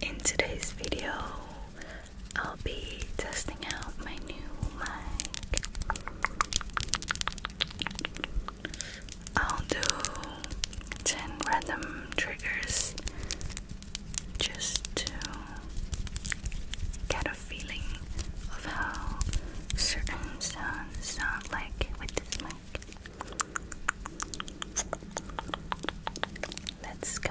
In today's video, I'll be testing out my new mic. I'll do 10 random triggers just to get a feeling of how certain sounds sound like with this mic. Let's go.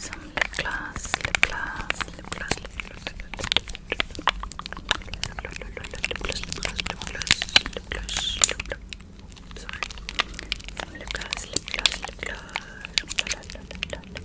Some lip gloss, lip gloss, lip gloss, lip gloss, Sorry. Some lip gloss, lip gloss, lip gloss, lip gloss, lip gloss, lip gloss.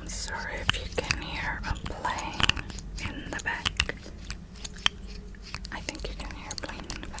I'm sorry if you can hear a plane in the back. I think you can hear a in the back.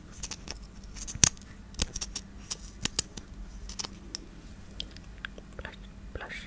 Blush, blush.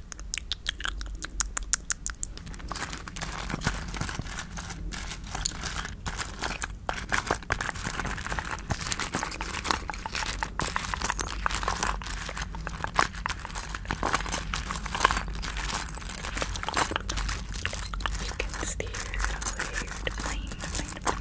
You can steer your plane, plane, plane.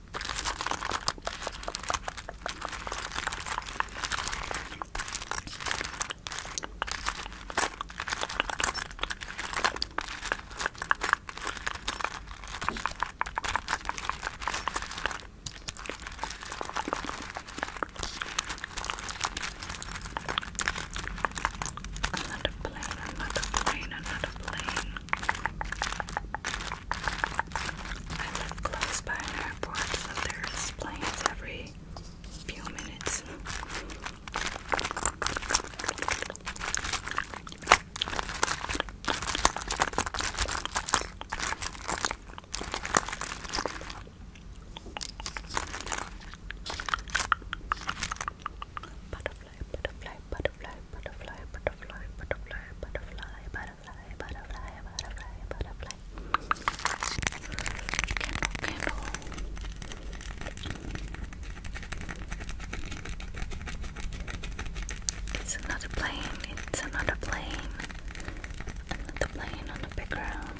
Another plane, another plane, another plane. I live close by an airport, so there's planes every few minutes. Butterfly, butterfly, butterfly, butterfly, butterfly, butterfly, butterfly, butterfly, butterfly, butterfly, butterfly, butterfly. Candle, candle. It's another plane, it's another plane. Another plane on the background.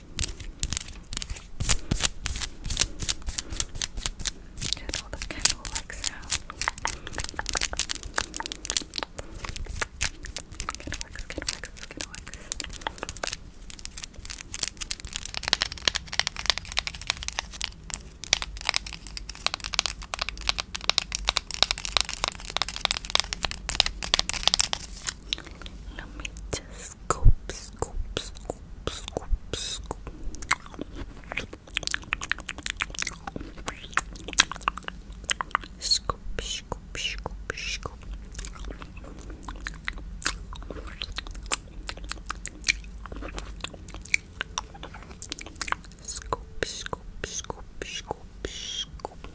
Just all the candle like sound. Good works, good works, good works. Okay, let me just scoop, scoop, scoop, scoop, scoop. Scoop, scoop, scoop, scoop. Scoop, scoop, scoop, scoop, scoop.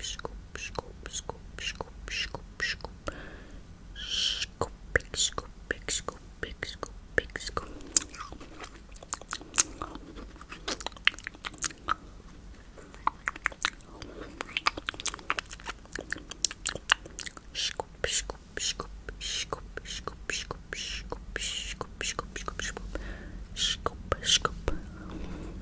scoop, scoop, scoop, scoop, scoop, scoop, scoop, big scoop, big scoop, big scoop, big scoop. Scoop, scoop, scoop, scoop, scoop, scoop, scoop, scoop, scoop, scoop, scoop, scoop, scoop.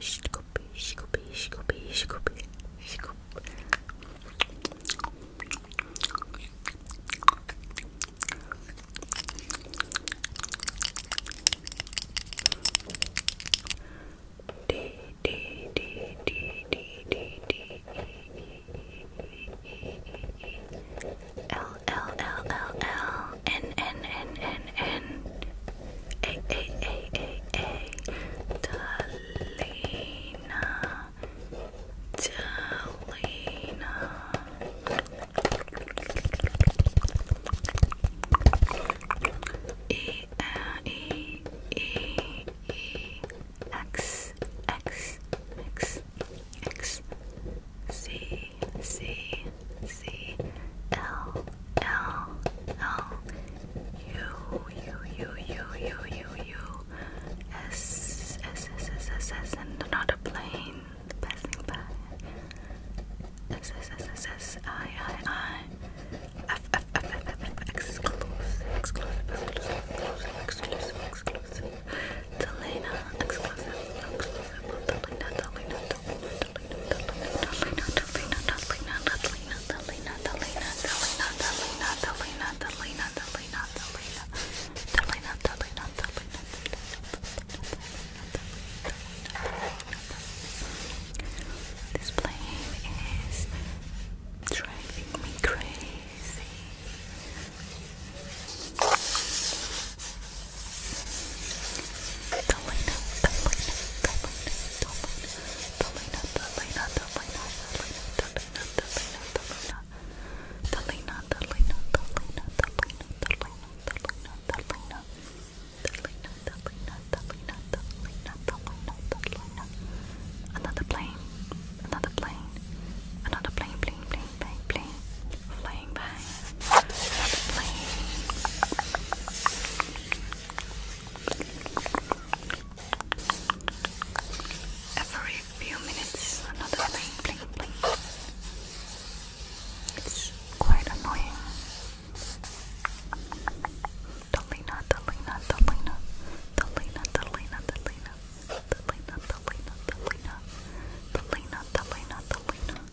scoop, scoop, scoop, scoop, scoop, scoop. D D D D D D D L L L L L N N N N N a A A A A Delina Delina E A E E E X X X X C C C L L L U U U U U U U S S S S S S and not a plane passing by. S S S S S I I I F F F F F F exclusive exclusive exclusive exclusive exclusive Delena exclusive exclusive this plane is driving me crazy the Lena, Another plane, another plane, another plane, plane, plane, plane, plane, flying by, Every few minutes, another bling bling bling. It's quite annoying. Delina, Delina, Delina, Delina, Delina, Delina, Delina, Delina, Delina, Delina, Delina,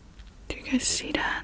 Do you guys see that?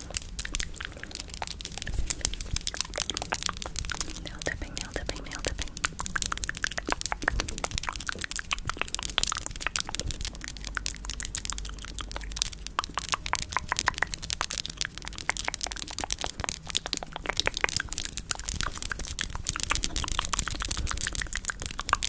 Nail dipping, nail dipping, nail dipping.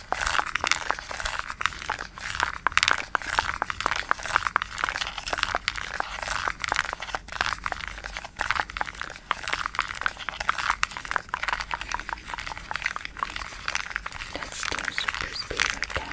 Let's do super speed again.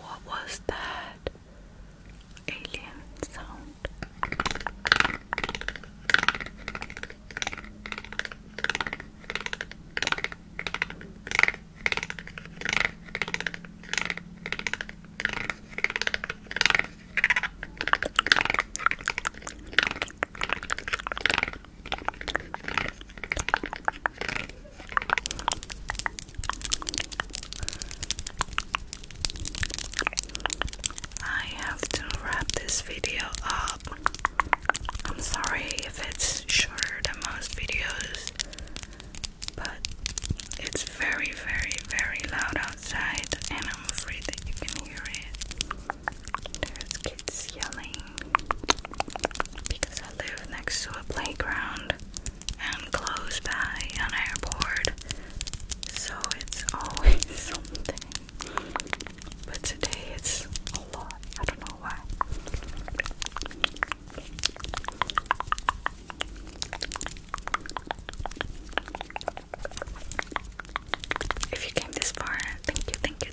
What was that alien sound? I have to wrap this video up. I'm sorry if it's shorter than most videos, but it's very, very, very loud outside, and I'm afraid that you can hear it. There's kids yelling because I live next to a playground and close by an airport, so it's always something. But today it's a lot, I don't know why. If you came this far, thank you, thank you,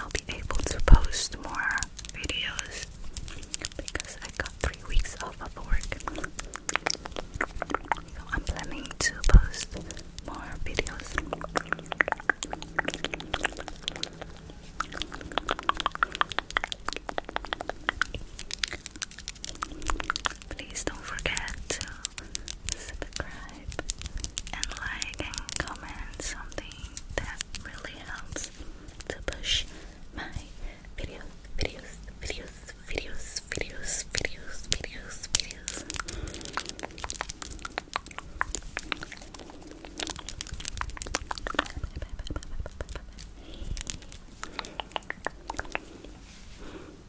I'll be able to post more videos because I got three weeks off of work. I'm planning to post more videos. Please don't forget subscribe, and like and comment something that really helps to push my video, videos, videos, videos, videos, videos, videos, videos.